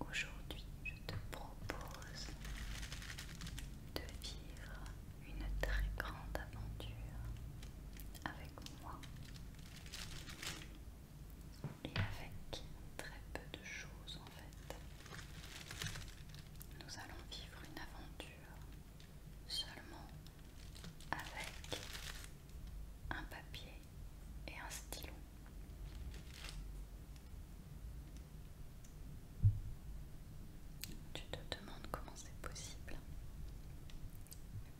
Aujourd'hui, je te propose de vivre une très grande aventure avec moi et avec très peu de choses en fait. Nous allons vivre une aventure seulement avec un papier et un stylo. Tu te demandes comment c'est possible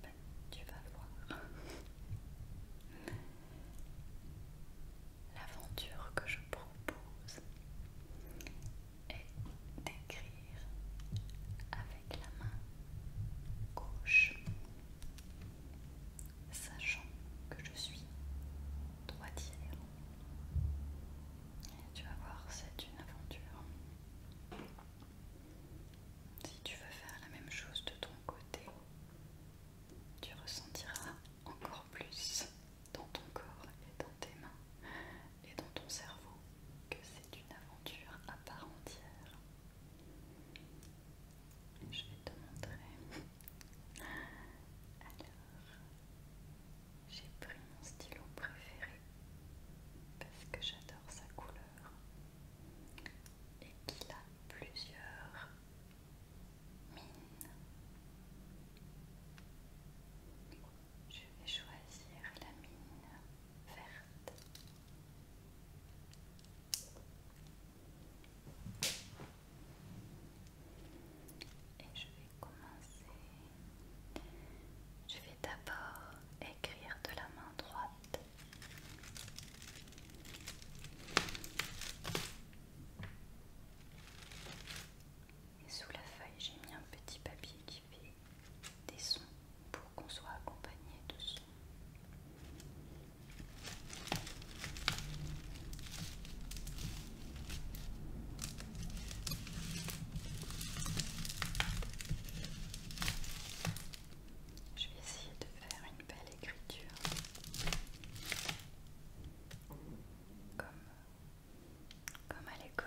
ben, Tu vas voir. L'aventure que je propose est d'écrire avec la main gauche, sachant que je suis droitière tu vas voir, c'est une aventure. Si tu veux faire la même chose de ton côté, tu ressentiras encore plus dans ton corps et dans tes mains et dans ton cerveau que c'est une aventure à part entière. Je vais te montrer. Alors, j'ai pris mon stylo préféré parce que j'adore sa couleur et qu'il a plusieurs mines. Je vais choisir la mine verte. Et je vais commencer. Je vais d'abord écrire de la main droite. Et sous la feuille, j'ai mis un petit papier qui fait des sons pour qu'on soit accompagné de sons. Je vais essayer de faire une belle écriture comme, à l'école.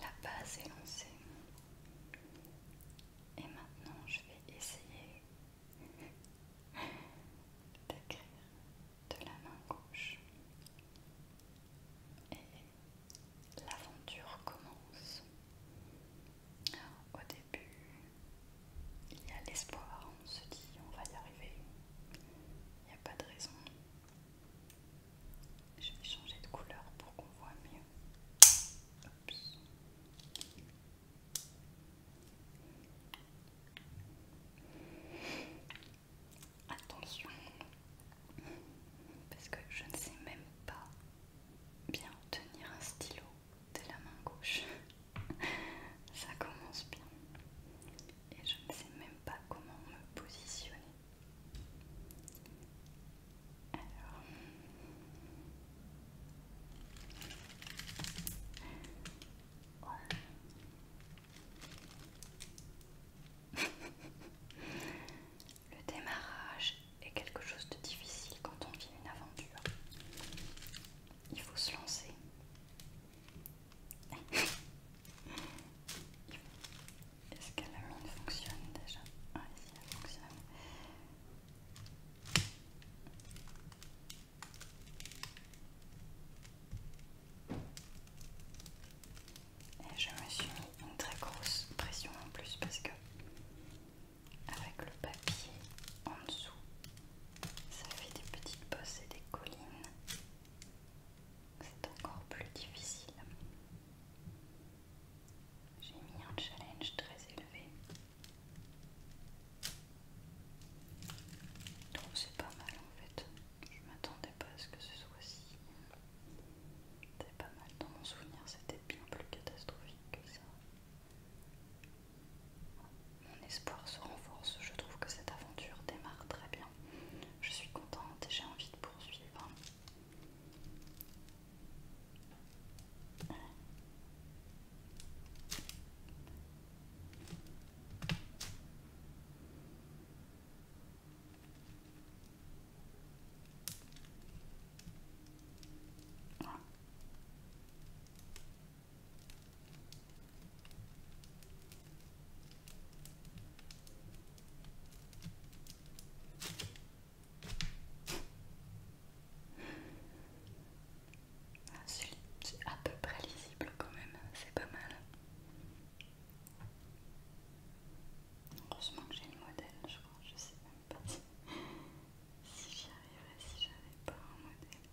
La base est lancée. Et maintenant, je vais essayer d'écrire de la main gauche. Et l'aventure commence. Au début, il y a l'espoir. On se dit, on va y arriver. Il n'y a pas de raison. Je vais changer de couleur pour qu'on voit mieux. Attention, parce que je ne sais même pas bien tenir un stylo de la main gauche. Ça commence bien et je ne sais même pas comment me positionner. Alors, Le démarrage est quelque chose de difficile quand on vit une aventure. Il faut se lancer. Est-ce que la mine fonctionne déjà Ah, si elle fonctionne. Et je me suis mis une très grosse pression en plus parce que avec le papier en dessous, ça fait des petites bosses et des collines c'est encore plus difficile. J'ai mis un challenge très élevé. Donc c'est pas mal en fait. Je m'attendais pas à ce que ce soit si. C'était pas mal. Dans mon souvenir, c'était bien plus catastrophique que ça. Mon espoir se renforce. Je trouve que cette aventure démarre très bien. Je suis contente et j'ai envie de poursuivre. Ah, c'est à peu près lisible quand même, c'est pas mal. Heureusement que j'ai le modèle, je crois, je sais même pas si j'y arriverai si j'avais pas un modèle.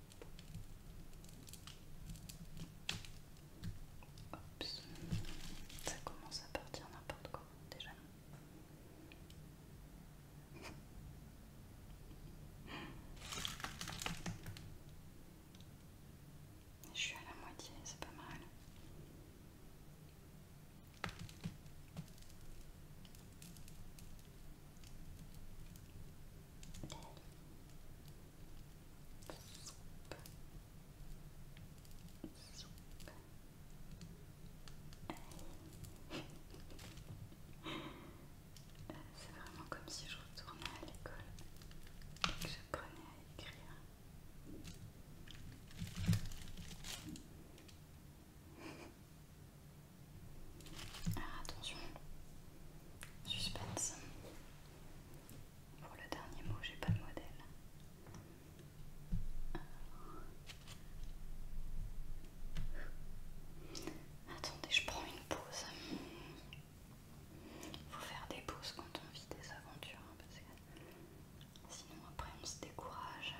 Ça commence à partir n'importe quoi déjà. Je suis à la moitié, c'est pas mal. C'est vraiment comme si je retournais à l'école et que j'apprenais à écrire attention, suspense. Pour le dernier mot, j'ai pas de modèle. Attendez, je prends une pause. Il Faut faire des pauses quand on vit des aventures, hein, parce que sinon après on se décourage.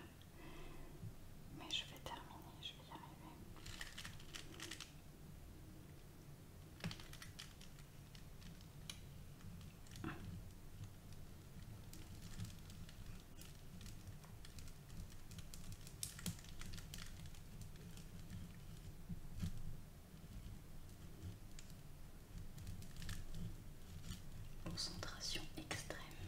Mais je vais terminer, je vais y arriver. Concentration extrême.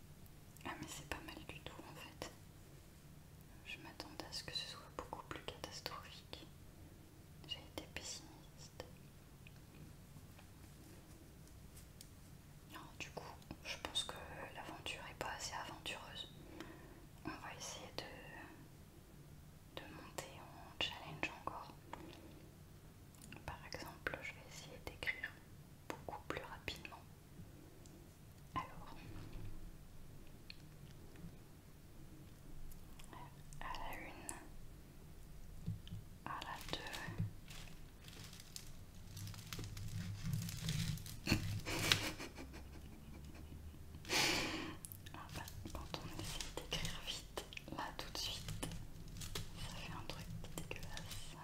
Ah mais c'est pas mal du tout en fait. Je m'attendais à ce que ce soit beaucoup plus catastrophique. J'ai été pessimiste. du coup, je pense que l'aventure est pas assez aventureuse. On va essayer de, de monter en challenge encore. Par exemple, je vais essayer d'écrire beaucoup plus rapidement. Alors, à la une, à la deux. Ah bah, quand on essaie d'écrire vite, Là tout de suite, ça fait un truc dégueulasse. Là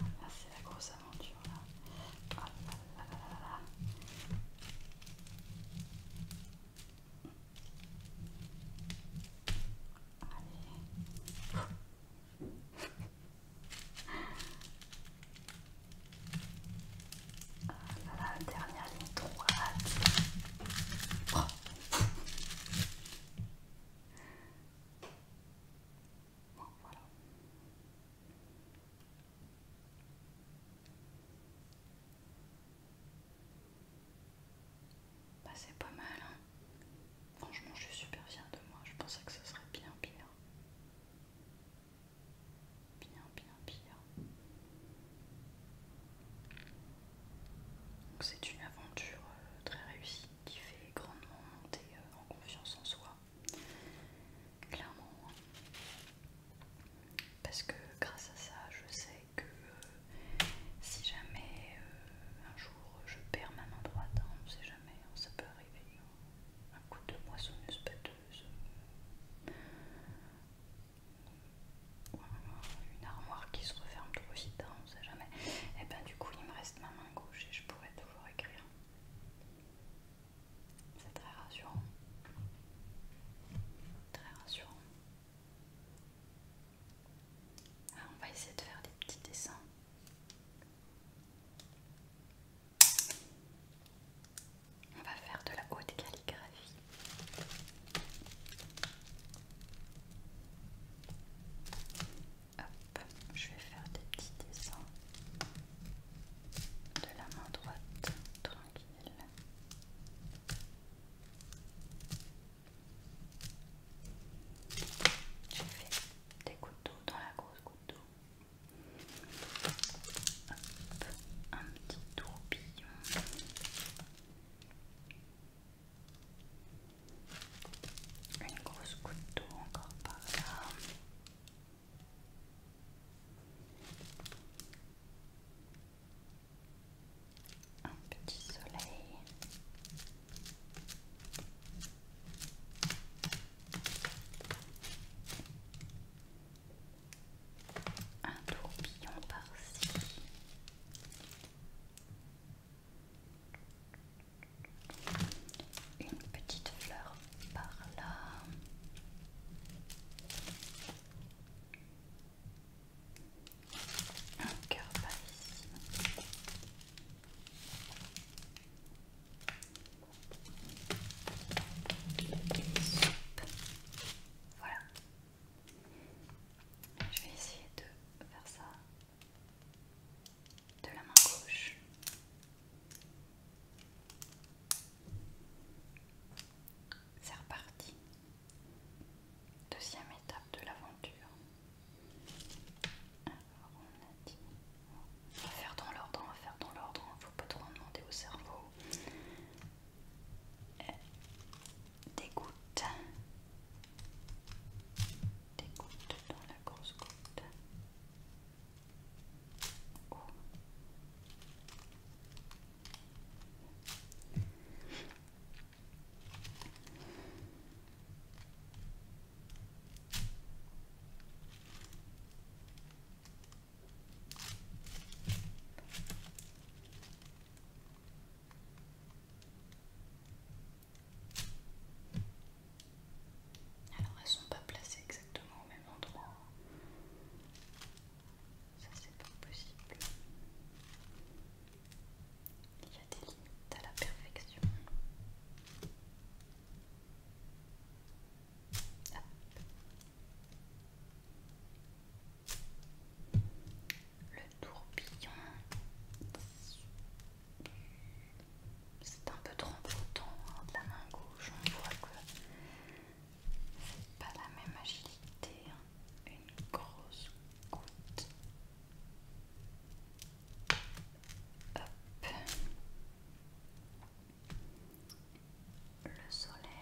ah, c'est la grosse aventure là. Ah, là. Allez. Voilà, dernière ligne droite. voilà. Bah, c'est pas mal, hein. Franchement, je suis super fière de moi. Je pensais que ce serait bien pire bien, bien pire. C'est une aventure euh, très réussie qui fait grandement monter euh, en confiance en soi, clairement. Hein. Parce que grâce à ça, je sais que euh, si jamais un jour je perds ma main droite, hein, on ne sait jamais, hein, ça peut arriver. Un coup de moissonneuse batteuse, euh, une armoire qui se referme trop vite, hein, on ne sait jamais. Et eh ben du coup, il me reste ma main gauche et je pourrais toujours écrire. C'est très rassurant. Très rassurant. Ah, on va essayer de faire des petits dessins. On va faire de la haute calligraphie. Hop, je vais faire des petits dessins de la main droite, tranquille. J'ai fait des couteaux dans la grosse couteau. Hop, un petit tourbillon. Une grosse couteau encore par là. Un petit soleil un tourbillon par-ci. Une petite fleur par là. Un cœur par ici. Voilà. Je vais essayer de faire ça de la main gauche. C'est reparti. Deuxième étape de l'aventure. Alors on a dit... On va faire dans l'ordre, on va faire dans l'ordre. Hein. Faut pas trop demander au cerveau. Euh, des gouttes, des gouttes dans la grosse goutte. Oh. Alors elles sont pas placées exactement au même endroit. Ça c'est pas possible. Il y a des limites à la perfection. Le tourbillon, c'est un peu trop important hein, de la main gauche. On voit que c'est pas la même agilité. Hein. Une grosse goutte. Hop le soleil.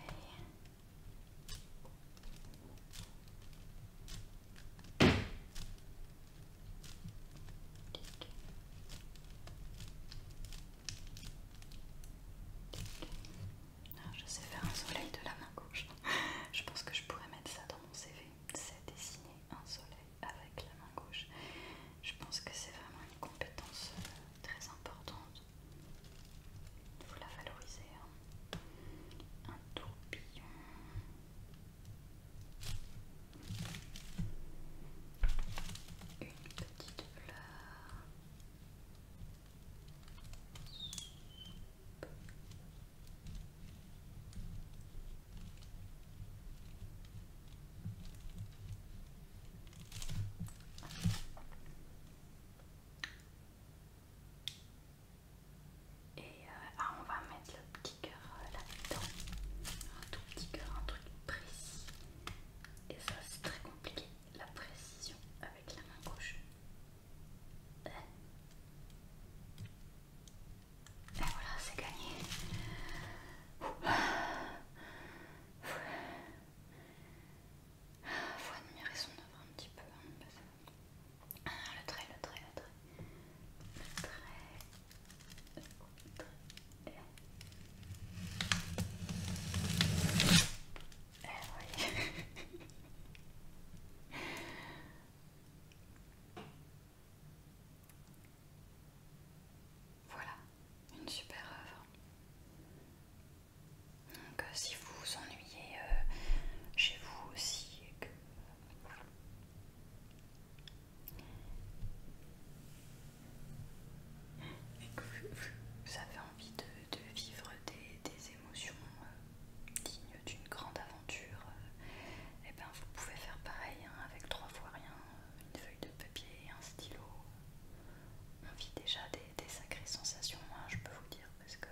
je sais faire un soleil de la main gauche. Je pense que je pourrais mettre ça dans mon CV. C'est dessiner un soleil avec la main gauche. Je pense que c'est vraiment une compétence euh, très importante vous la valorisez. Hein. Un tourbillon. Une petite fleur. Et euh, ah, on va mettre le petit cœur euh, là-dedans. Un tout petit cœur, un truc précis. Et ça, c'est très compliqué, la précision avec la main gauche. Et voilà, c'est gagné. Ah, faut admirer son œuvre un petit peu. Hein, ah, le trait, le trait, le trait. Le trait. Le trait. Et eh oui. voilà une super œuvre. Donc, euh, si vous vous ennuyez euh, chez vous aussi, et que... vous avez envie de, vivre des, émotions euh, dignes d'une grande aventure, et eh ben vous pouvez faire pareil hein, avec trois fois rien, une feuille de papier, stylo, on euh, vit déjà des, sacrées sensations, hein, je peux vous dire, parce que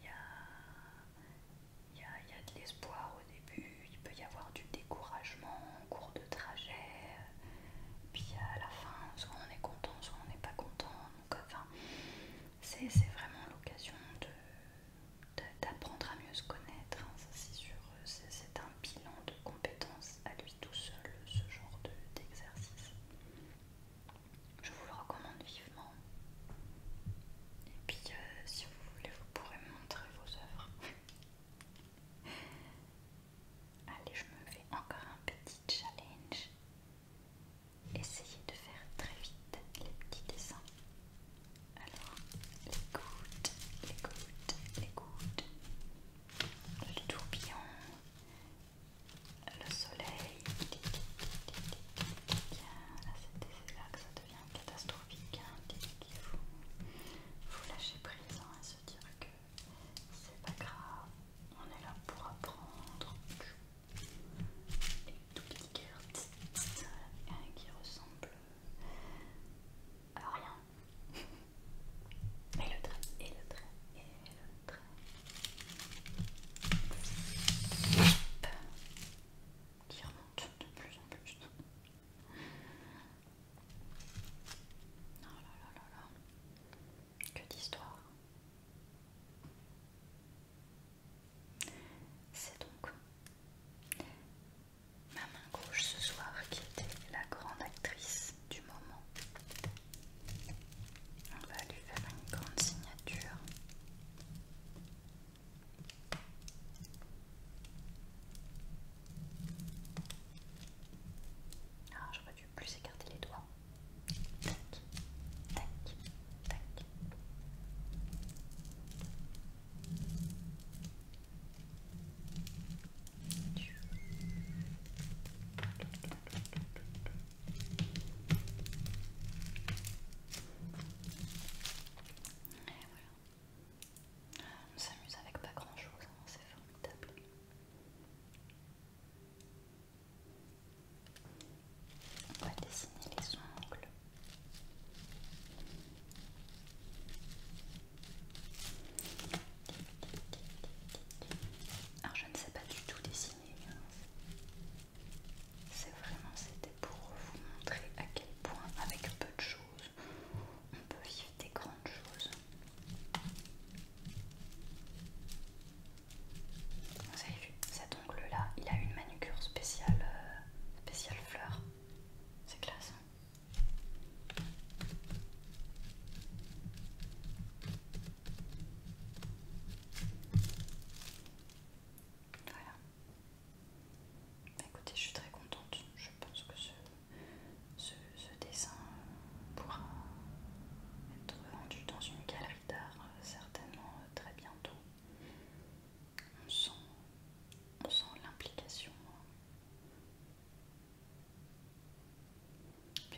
il y a, de l'espoir au début, il peut y avoir du découragement en cours de trajet, puis à la fin, soit on est content, soit on n'est pas content. c'est vraiment l'occasion de d'apprendre à mieux se connaître, hein, ça c'est sûr, c'est un bilan de compétences à lui-même tout seul ce genre d'exercice. je vous le recommande vivement. Et puis euh, si vous voulez, vous pourrez me montrer vos œuvres. Allez, je me fais encore un petit challenge. Essayez de faire très vite les petits dessins. Alors, les gouttes, les gouttes, les gouttes le tourbillon, le soleil. Là, c'est là que ça devient catastrophique. Il faut, lâcher prise et se dire que c'est pas grave. On est là pour apprendre. et tout qui ressemblent à rien et le train, et le train, et le train. Qui remonte de plus en plus. Oh là là là là. Que d'histoire. C'est donc Ma main gauche ce soir qui était la grande actrice du moment. On va lui faire une grande signature. Ah, j'aurais dû plus écarter les doigts. Tac, tac, tac voilà. On s'amuse avec pas grand chose, hein, c'est formidable. On va dessiner les ongles. Alors je ne sais pas du tout dessiner. C'est vraiment c'était pour vous montrer à quel point avec peu de choses on peut vivre des grandes choses. Vous avez vu cet ongle là, il a une manucure spéciale, euh, spéciale fleur. C'est classe. Hein. Voilà. Bah, écoutez, je suis très contente. Je pense que ce, ce dessin pourra être rendu dans une galerie d'art euh, certainement euh, très bientôt on sent, l'implication.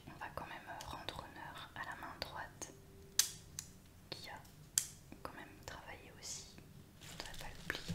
On va quand même rendre honneur à la main droite qui a quand même travaillé aussi. Il ne faudrait pas l'oublier.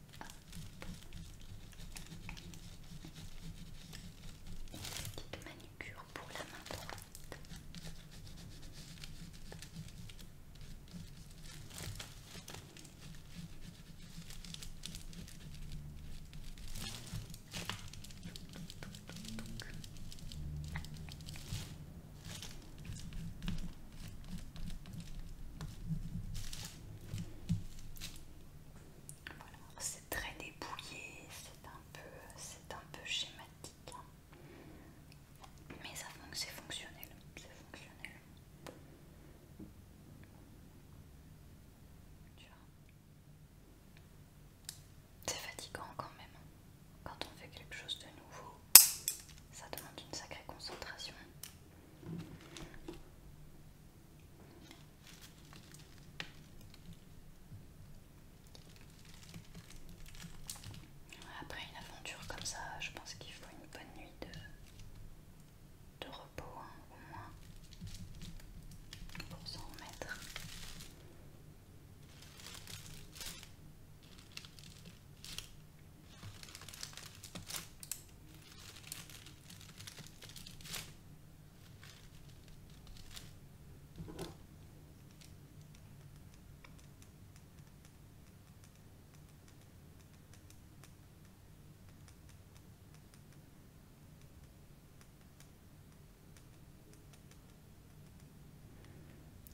petite manucure pour la main droite. Voilà, c'est très dépouillé, c'est un peu, c'est un peu schématique, hein. mais ça c'est c'est fonctionnel. C'est fatigant quand même. Hein. Quand on fait quelque chose de nouveau, ça demande une sacrée concentration. Après une aventure comme ça, je pense qu'il faut une bonne nuit de, de repos, hein, au moins, pour s'en remettre.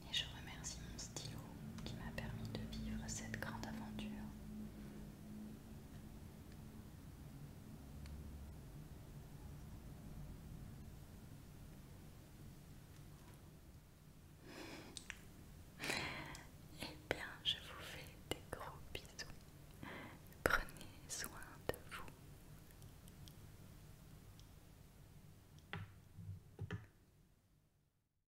Et je remercie mon stylo qui m'a permis de vivre cette grande aventure. Eh bien, je vous fais des gros bisous. Prenez soin de vous.